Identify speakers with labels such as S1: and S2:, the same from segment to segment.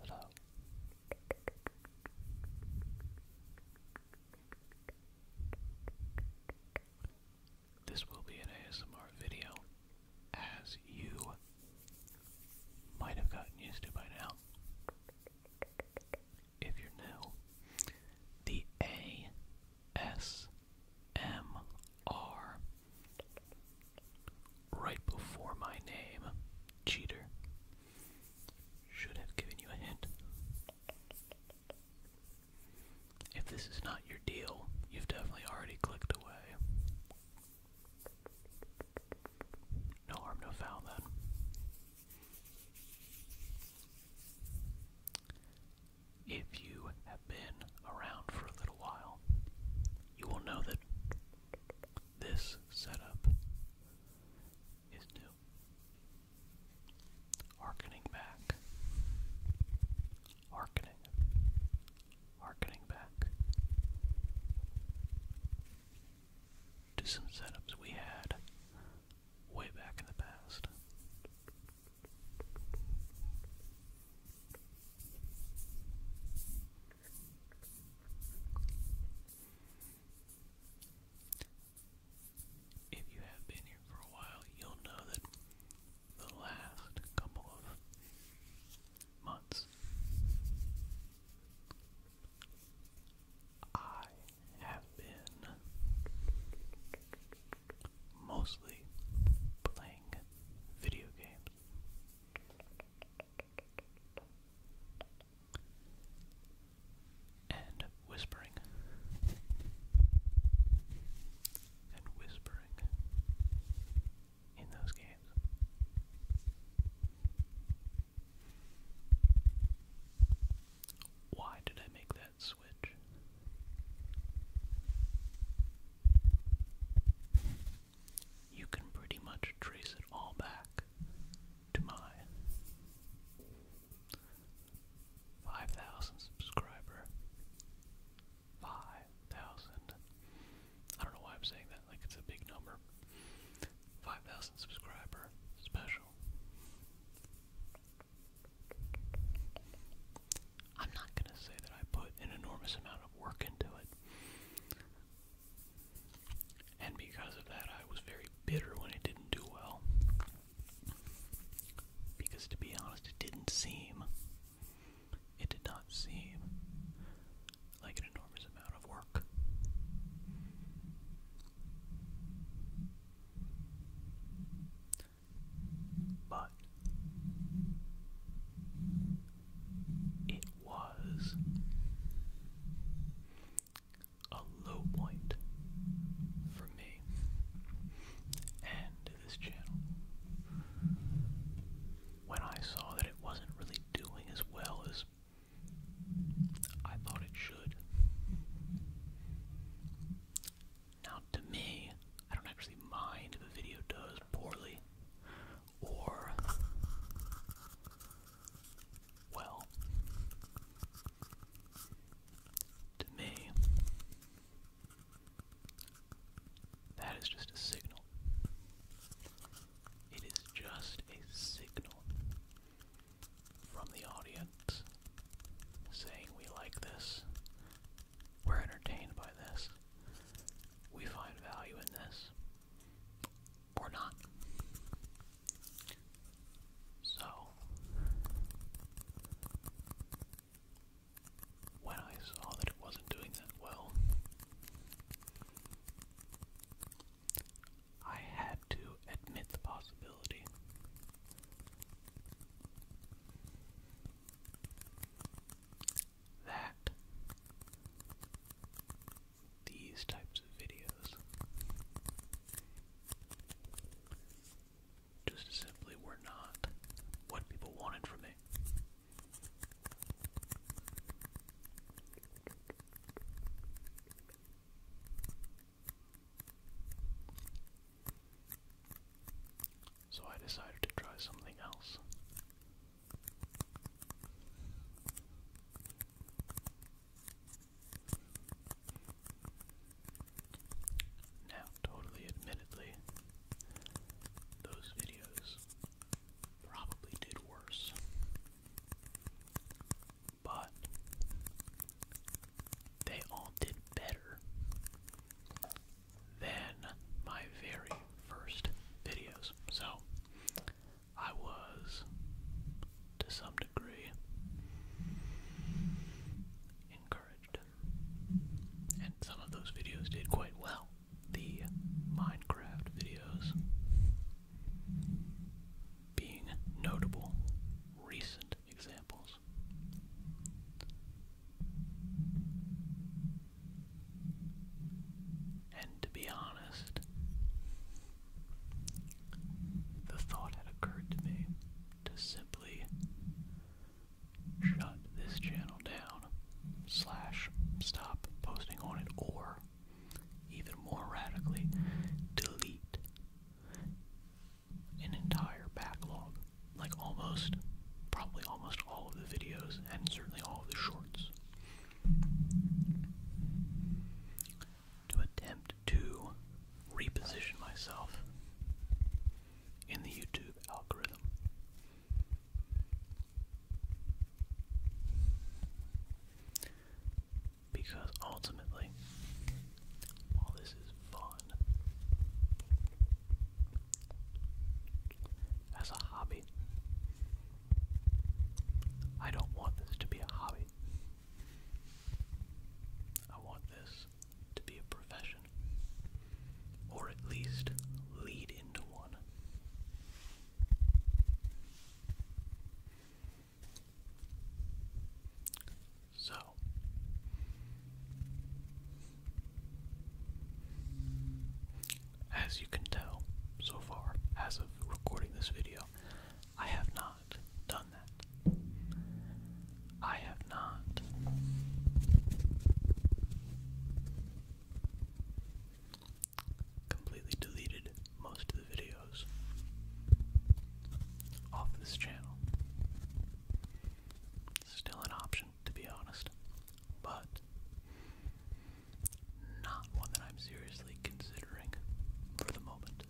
S1: Hello. This will be an ASMR video, as you might have gotten used to by now. If you're new, the A S M R right before my name. Cheater. Should have given you a hint. If this is not your deal, you've definitely already clicked away. No harm, no foul then. If you have been around for a little while, you will know that this setup is new. Harkening back, harkening, harkening back to some setups we had way back in the past. If you have been here for a while, you'll know that the last couple of months I have been mostly playing video games. And whispering. And whispering in those games. Why did I make that switch. You can pretty much trace it all back to my 5,000 subscriber. 5,000. I don't know why I'm saying that, like it's a big number. 5,000 subscriber special. I'm not going to say that I put an enormous amount of work into it. And because of that, I was very bitter when it didn't do well. Because to be honest, it didn't seem, it did not seem like an enormous amount of work. But it was a low point for me and this channel. When I saw that it wasn't really doing as well as I thought it should, now, to me, I don't actually mind if a video does poorly or well. To me, that is just a signal. It is just a signal from the audience saying we like this, we're entertained by this, we find value in this, or not. So, when I saw that it wasn't doing that well, I had to admit the possibility. That these types of videos just simply were not what people wanted from me. So I decided to try something else. Now, totally admittedly, those videos probably did worse. But they all did better than my very first videos. So I was, to some degree, encouraged. And some of those videos did quite well. The Minecraft videos being notable recent examples. And to be honest, the thought had occurred to me to simply shut this channel down, slash, stop posting on it, or even more radically, delete an entire backlog. Like almost, probably almost all of the videos, and certainly all of the shorts. To attempt to reposition myself in the YouTube algorithm. Because ultimately, all this is fun. As a hobby, I don't want this to be a hobby. I want this to be a profession, or at least lead into one. So as you can tell so far, as of recording this video, I have not done that. I have not completely deleted most of the videos off this channel. Still an option, to be honest, but not one that I'm seriously considering for the moment.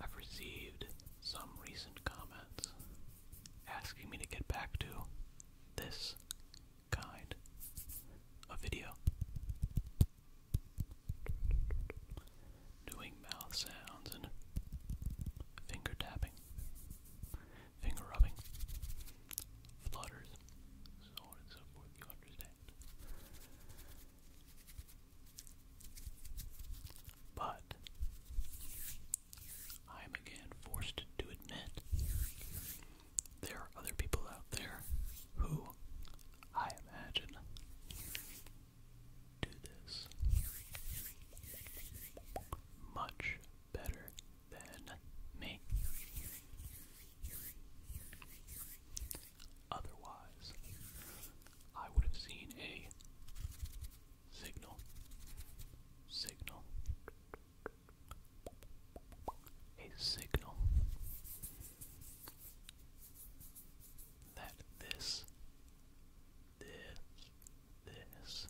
S1: I've received some recent comments asking me to get back to this kind of video. Doing mouth sounds and finger tapping, finger rubbing, flutters, so on and so forth, you understand. But I am again forced to admit there are other people out there who I imagine do this much better than me. Otherwise, I would have seen a signal, signal, a signal that this, this, this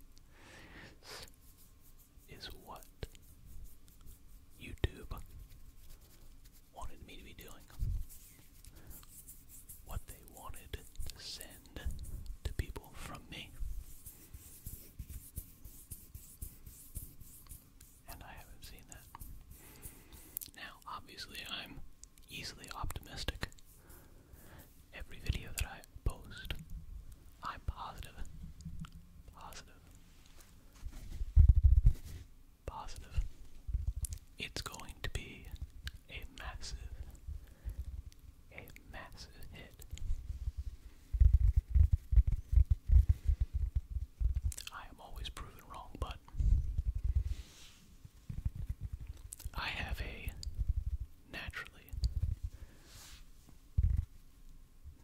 S1: is what YouTube wanted me to be doing. What they wanted to send to people from me. And I haven't seen that. Now, obviously, I'm easily optimistic. Every video that I post I'm positive. It's going to be a massive, a massive hit. I am always proven wrong, but I have a naturally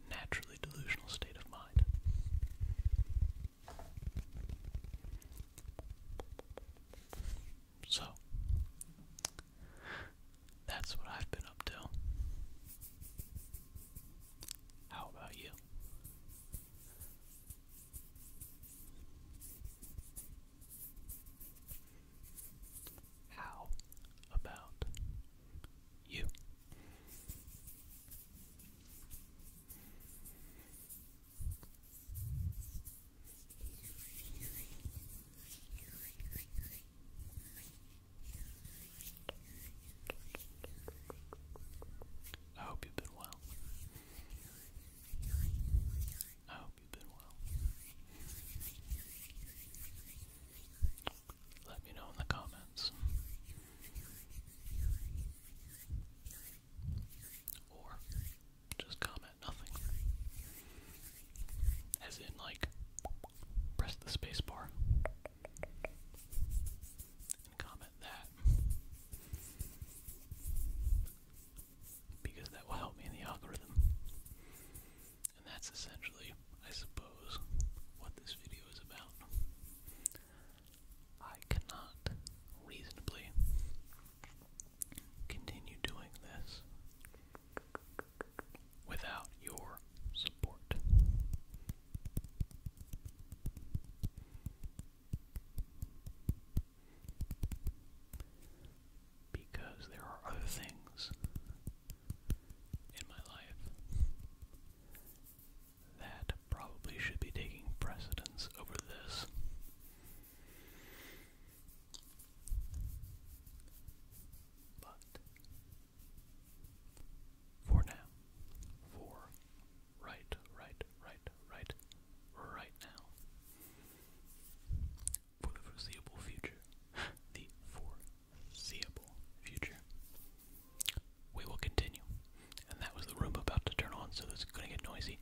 S1: naturally delusional state of mind. So, that's what I've been up to. How about you? How about you? I hope you've been well. I hope you've been well. Let me know in the comments. Or just comment nothing. As in, like, press the space bar and comment that. Because that will help me in the algorithm. And that's essentially, I suppose, what this video is about. I cannot reasonably continue doing this without your support because there are other things in my life that probably should be taking precedence over this. But for now, for right, right, right, right, right now, for the foreseeable future. The foreseeable future. We will continue. And that was the room about to turn on, so it's going to get noisy.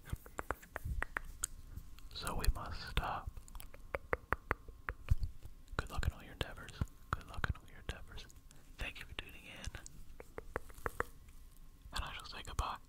S1: So we must stop. Good luck in all your endeavors. Good luck in all your endeavors. Thank you for tuning in. And I shall say goodbye.